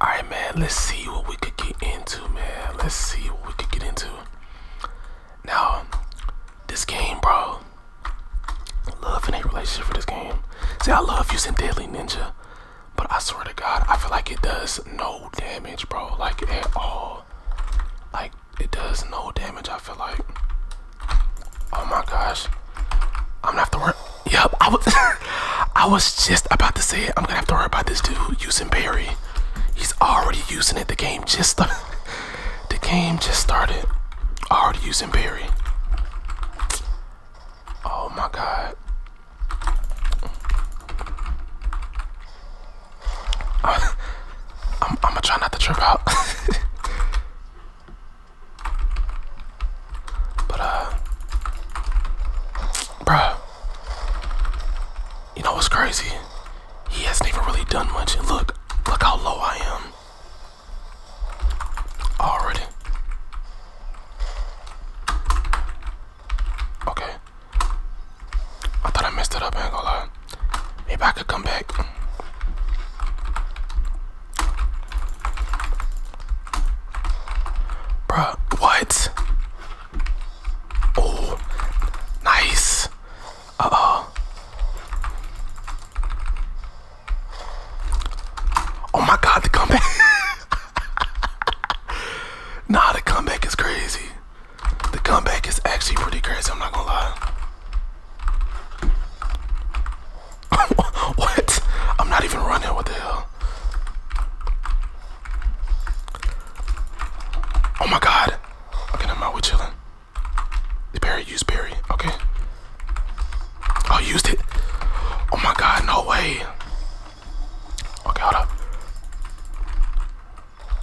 All right, man, let's see what we could get into, man. Let's see what we could get into. Now, this game, bro. Love and hate relationship for this game. See, I love using Deadly Ninja, but I swear to God, I feel like it does no damage, bro. Like, at all. Like, it does no damage, I feel like. Oh my gosh. I'm gonna have to run. Yep, I was I was just about to say it. I'm gonna have to worry about this dude using Barry. He's already using it. The game just the game just started. Already using Barry. Oh my god. I'm, I'm, gonna try not to trip out. but uh, bruh. You know what's crazy? He hasn't even really done much. And look, look how low I am. Already. Okay. I thought I messed it up, ain't gonna lie. Maybe I could come back. Bruh, what? Oh, nice. Uh oh. Oh my god, the comeback. nah, the comeback is crazy. The comeback is actually pretty crazy, I'm not gonna lie. what? I'm not even running, what the hell? Oh my god. Okay, never mind. We chilling. The berry. Use berry. Okay. I oh, used it. Oh my god. No way. Okay, hold up.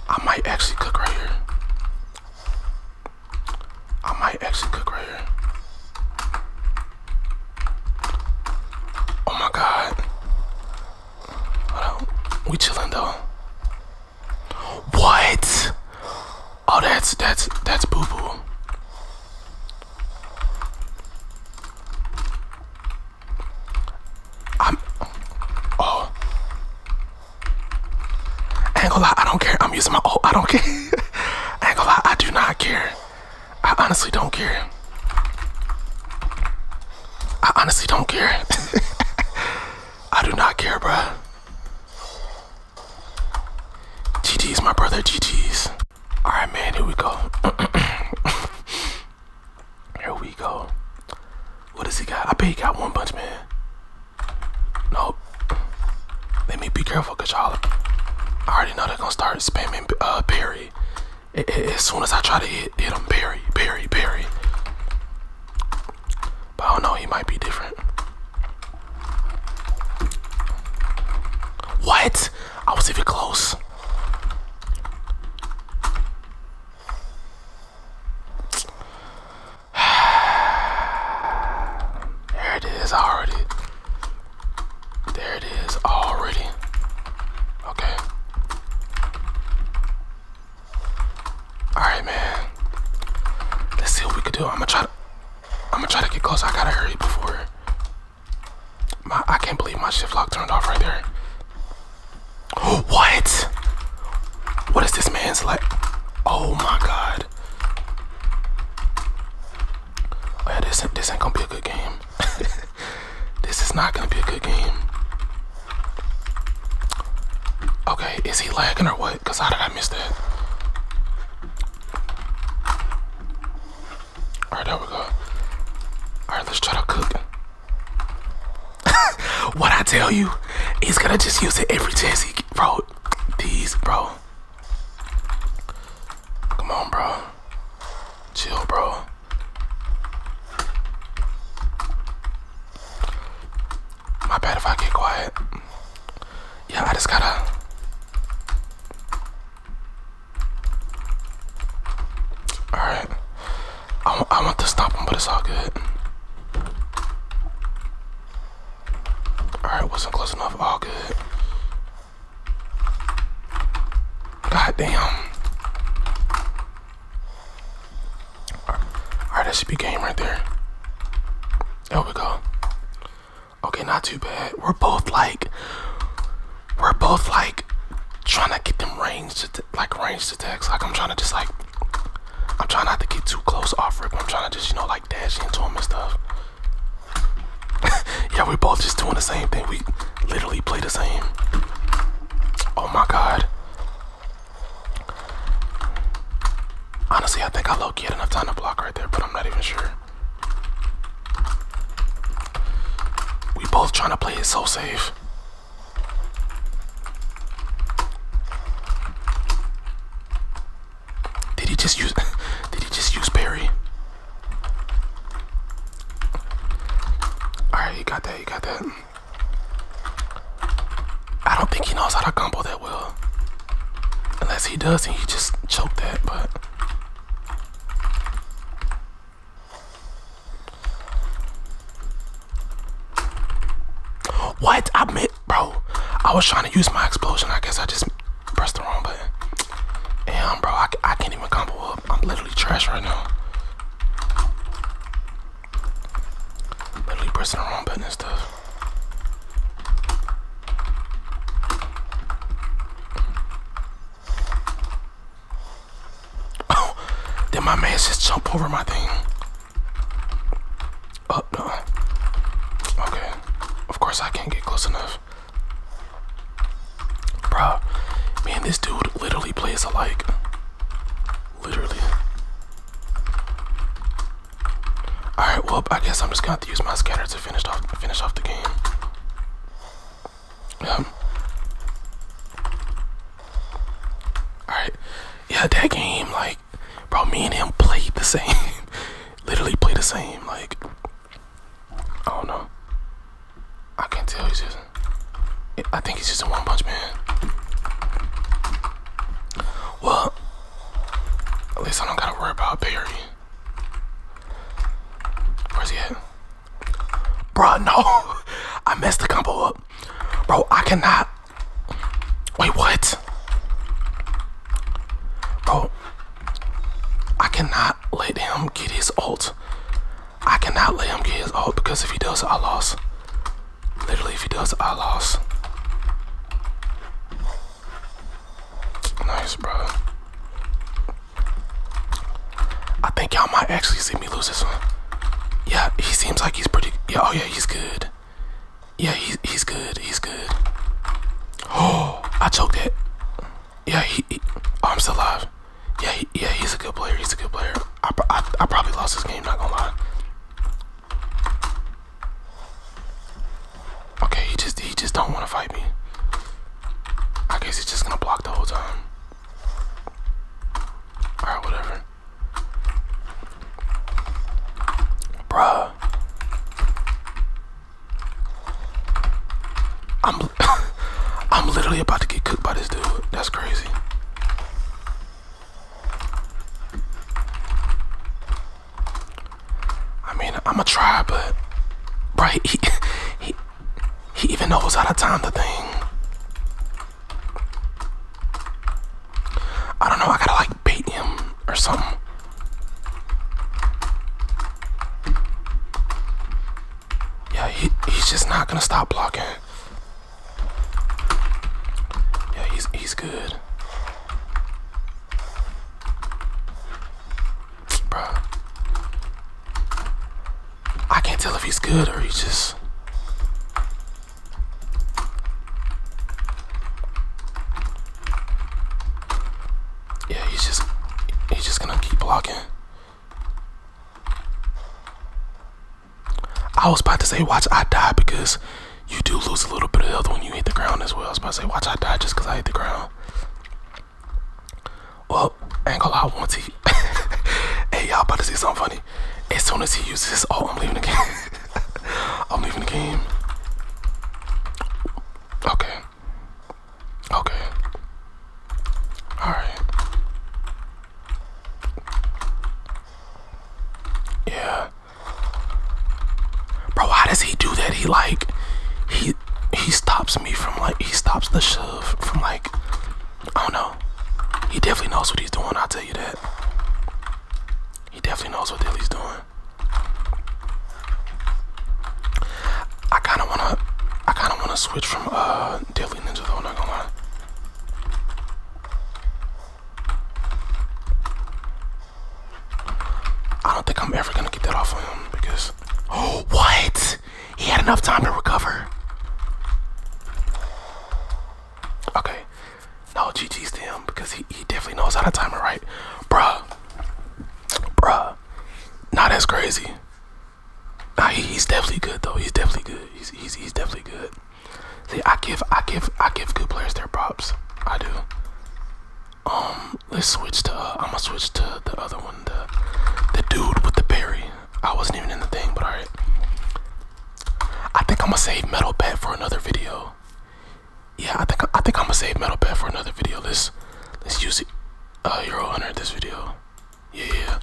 I might actually cook right here. I might actually cook right here. Oh my god. We chilling though. What? Oh that's that's that's boo-boo. I'm oh I I do not care i am using my oh i do not care i i do not care I honestly don't care. I honestly don't care. I do not care, bruh. is my brother, GG's. All right, man, here we go. here we go. What does he got? I bet he got one bunch, man. Nope. Let me be careful, cause y'all, I already know they're gonna start spamming uh, period as soon as I try to hit, hit him, parry, parry, parry. But I don't know, he might be different. What? I was even close. there it is already. There it is already. Okay. Alright, man. Let's see what we can do. I'm gonna try to I'm gonna try to get close. I gotta hurry before my I can't believe my shift lock turned off right there. Oh, what? What is this man's like? Oh my god. Oh this ain't, this ain't gonna be a good game. This is not gonna be a good game. Okay, is he lagging or what? Cause I miss that? All right, there we go. All right, let's try to cook. what I tell you, he's gonna just use it every time he can. Bro, these, bro. Come on, bro. Chill, bro. My bad if I get quiet. Yeah, I just gotta. Alright. I, I want to stop him, but it's all good. Alright, wasn't close enough. All good. God damn. Alright, that should be game right there. There we go. Okay, not too bad. We're both like, we're both like trying to get them range to like ranged attacks. Like I'm trying to just like, I'm trying not to get too close off rip. I'm trying to just, you know, like dash into him and stuff. yeah, we both just doing the same thing. We literally play the same. Oh my god. Honestly, I think I low key had enough time to block right there, but I'm not even sure. We both trying to play it so safe. Did he just use did he just use Perry? Alright, you got that, you got that. I don't think he knows how to combo that well. Unless he does and he just choked that, but What? I meant bro, I was trying to use my explosion. I guess I just pressed the wrong button. Damn bro, I, I can't even combo up. I'm literally trash right now. I'm literally pressing around, wrong button and stuff. Oh, did my man just jump over my thing? oh, no. Okay. Of course, I can't get close enough. Bro, man, this dude literally plays alike. Literally. Alright, well I guess I'm just gonna have to use my scatter to finish off finish off the game. Um Alright. Yeah, that game, like, bro, me and him played the same. literally played the same, like I don't know. I can't tell. you, just. I think he's just a One Punch Man. Well, at least I don't gotta worry about Barry. Where's he at? Bruh, no! I messed the combo up. Bro, I cannot. Wait, what? Bro, I cannot let him get his ult I cannot let him get his ult because if he does, I lose. Literally, if he does, I lose. Nice, bro. I think y'all might actually see me lose this one. Yeah, he seems like he's pretty. Yeah, oh yeah, he's good. Yeah, he's he's good. He's good. Oh, I choked it. Yeah, he. Oh, I'm still alive. Yeah, yeah, he's a good player. He's a good player. I, I, I probably lost this game. Not gonna lie. Okay, he just he just don't want to fight me. I guess he's just gonna block the whole time. All right, whatever. Bruh. I'm. I'm literally about to get cooked by this dude. That's crazy. I mean, I'ma try, but right, he, he he even knows how to time the thing. I don't know. I gotta like bait him or something. Yeah, he, he's just not gonna stop blocking. Yeah, he's he's good. Bruh. I can't tell if he's good or he's just Yeah, he's just he's just gonna keep blocking. I was about to say watch I die because you do lose a little bit of health when you hit the ground as well. I was about to say watch I die just because I hit the ground. Well, ain't gonna once he Hey y'all about to see something funny. As soon as he uses this, oh I'm leaving the game. I'm leaving the game. Okay. Okay. Alright. Yeah. Bro, how does he do that? He like he he stops me from like he stops the shove from like I don't know. He definitely knows what he's doing, I'll tell you that. He definitely knows what the hell he's doing. I kinda wanna I kinda wanna switch from uh Daily Ninja though, I'm not gonna lie. I don't think I'm ever gonna get that off of him because oh what? He had enough time to recover. Okay. now GG's to him because he, he definitely knows how to time it right. Bruh. Bruh. Not as crazy he's definitely good though. He's definitely good. He's, he's definitely good. See, I give I give I give good players their props. I do. Um, let's switch to uh, I'm gonna switch to the other one, the the dude with the berry. I wasn't even in the thing, but alright. I think I'm gonna save Metal Bat for another video. Yeah, I think I think I'm gonna save Metal Bat for another video. Let's let's use it, uh, Euro Hunter this video. Yeah.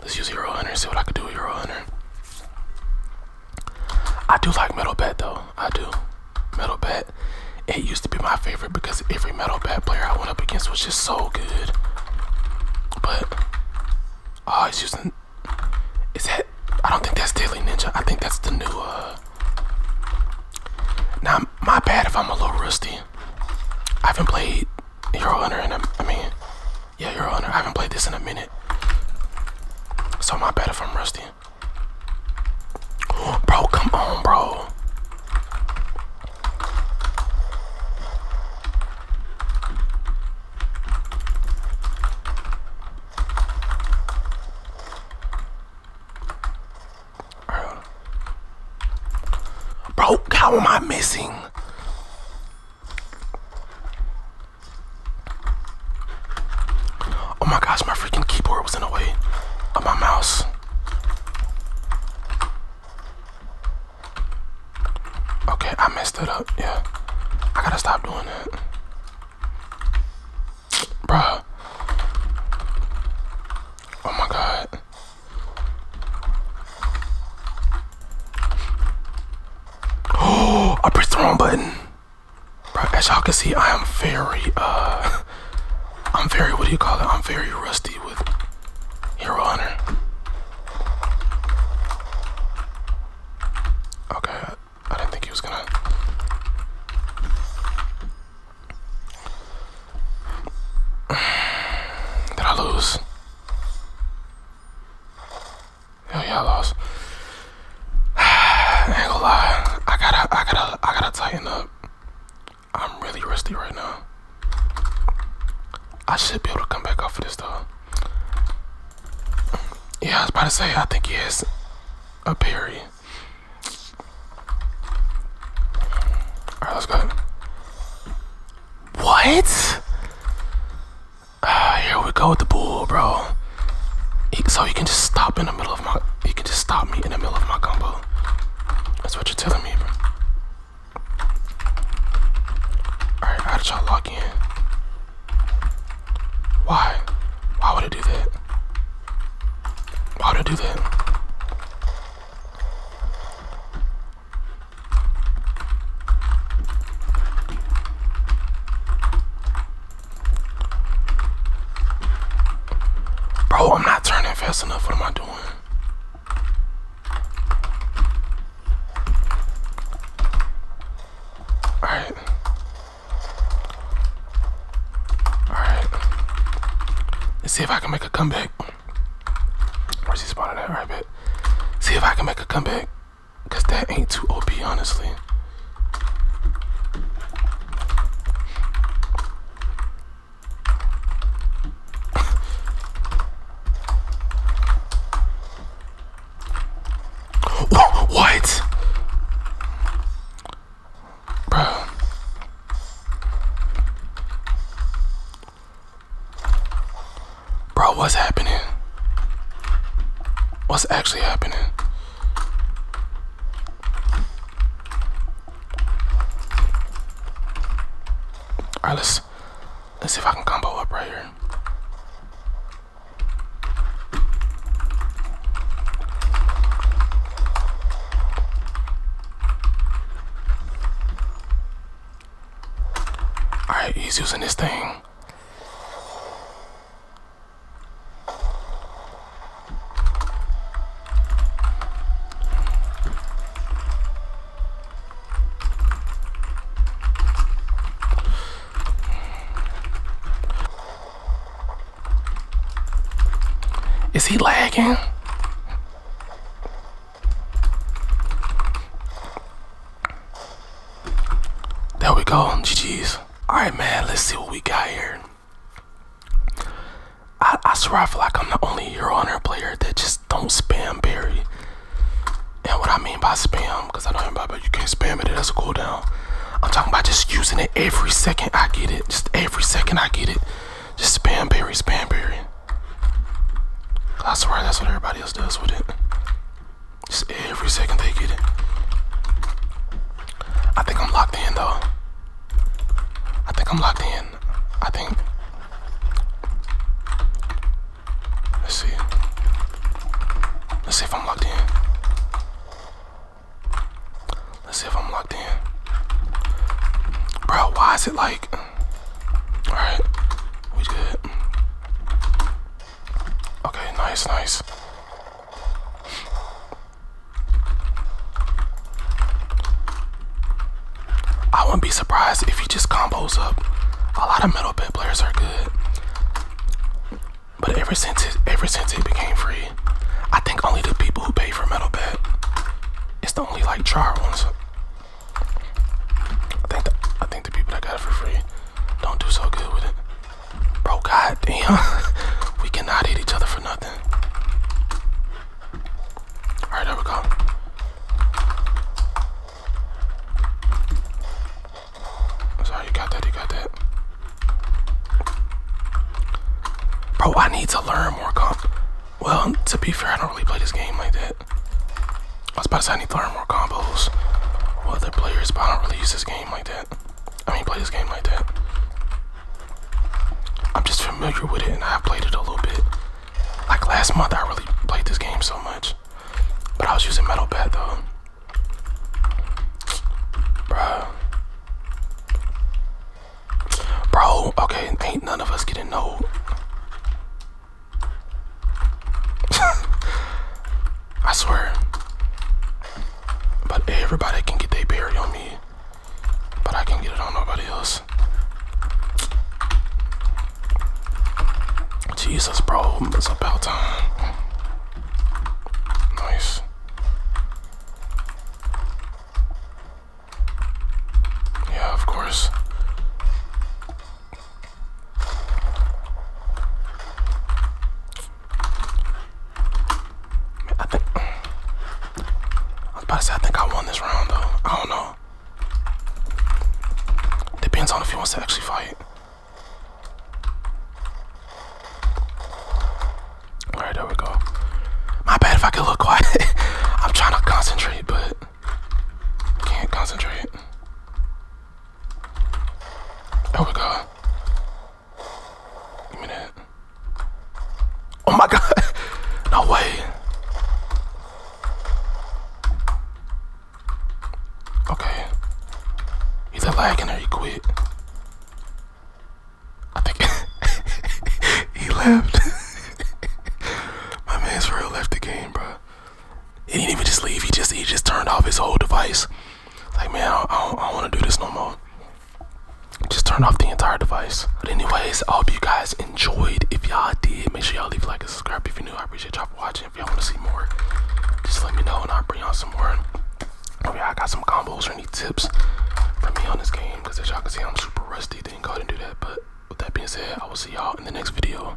Let's use Hero Hunter and see what I can do with Hero Hunter. I do like Metal Bat though. I do. Metal Bat. It used to be my favorite because every Metal Bat player I went up against was just so good. But oh, it's using is that I don't think that's Daily Ninja. I think that's the new uh now my bad if I'm a little rusty. I haven't played Hero Hunter in a, I mean yeah, Your Honor, I haven't played this in a minute. So my bad if I'm rusty. Bro, come on, bro. Bro, how am I missing? Oh my gosh, my freaking keyboard was in the way of my mouse. Okay, I messed it up. Yeah, I gotta stop doing that. Bruh. Oh my god. Oh, I pressed the wrong button. as y'all can see, I am very, uh, I'm very, what do you call it? I'm very rusty with Hero Hunter. Okay, I, I didn't think he was gonna. Did I lose? Hell yeah, I lost. I ain't gonna lie. I gotta, I gotta, I gotta tighten up. I'm really rusty right now. I should be able to come back off of this though. Yeah, I was about to say, I think he has a parry. Alright, let's go. What? Uh, here we go with the bull, bro. so you can just stop in the middle of my. You can just stop me in the middle of my combo. That's what you're telling me, bro. Alright, how did y'all lock in? Why? Why would I do that? Why would I do that? Bro, I'm not turning fast enough. What am I doing? Alright. Alright. Let's see if I can make a comeback. Where's he spawning at? Right bet. See if I can make a comeback. Because that ain't too OP, honestly. what? Bruh. Bro, what's happening? What's actually happening? Alright, let's let's see if I can combo up right here. All right, he's using this thing. Is he lagging? There we go, GG's. Alright man, let's see what we got here. I, swear I feel like I'm the only Hero Hunter player that just don't spam Barry. And what I mean by spam, because I know everybody, but you can't spam it, it has a cooldown. I'm talking about just using it every second I get it. Just every second I get it. Just spam Barry, spam Barry. I swear that's what everybody else does with it. Just every second they get it. I think I'm locked in though. I think I'm locked in. I think. Let's see. Let's see if I'm locked in. Let's see if I'm locked in. Bro, why is it like. Alright, we did Okay, nice, nice. I wouldn't be surprised if he just combos up. A lot of metal pit players are good. But ever since it ever since it became free, I think only the people who pay for metal pet. It's the only like Charles. I think the, people that got it for free don't do so good with it. Bro, god damn. we cannot hit each other for nothing. Alright, there we go. Sorry, you got that, you got that. Bro, I need to learn more comp. Well, to be fair, I don't really play this game like that. I was about to say I need to learn more combos with other players, but I don't really use this game like that. I mean, play this game like that. I'm just familiar with it, and I've played it a little bit. Like last month, I really played this game so much, but I was using Metal Bat though. Bruh. Bro, okay, ain't none of us getting old. I swear. But everybody can get their berry on me. But I can get it on nobody else. Jesus, bro. It's about time. Nice. Yeah, of course. I think I about to say I think I won this round though. I don't know. Depends on if he wants to actually fight. Alright, there we go. My bad if I could look quiet. I'm trying to concentrate, but can't concentrate. Oh my god. Give me that. Oh my god. no way. Okay. He's a lagging or he quit. I think he left. my man's real left the game, bro. He didn't even just leave. He just he just turned off his whole device. Like man, I, I don't, want to do this no more. Just turn off the entire device. But anyways, I hope you guys enjoyed. If y'all did, make sure y'all leave a like and subscribe if you're new. I appreciate y'all for watching. If y'all want to see more, just let me know and I'll bring y'all some more. If oh, y'all got some combos or any tips from me on this game, because as y'all can see, I'm super rusty. Didn't go ahead and do that. But with that being said, I will see y'all in the next video.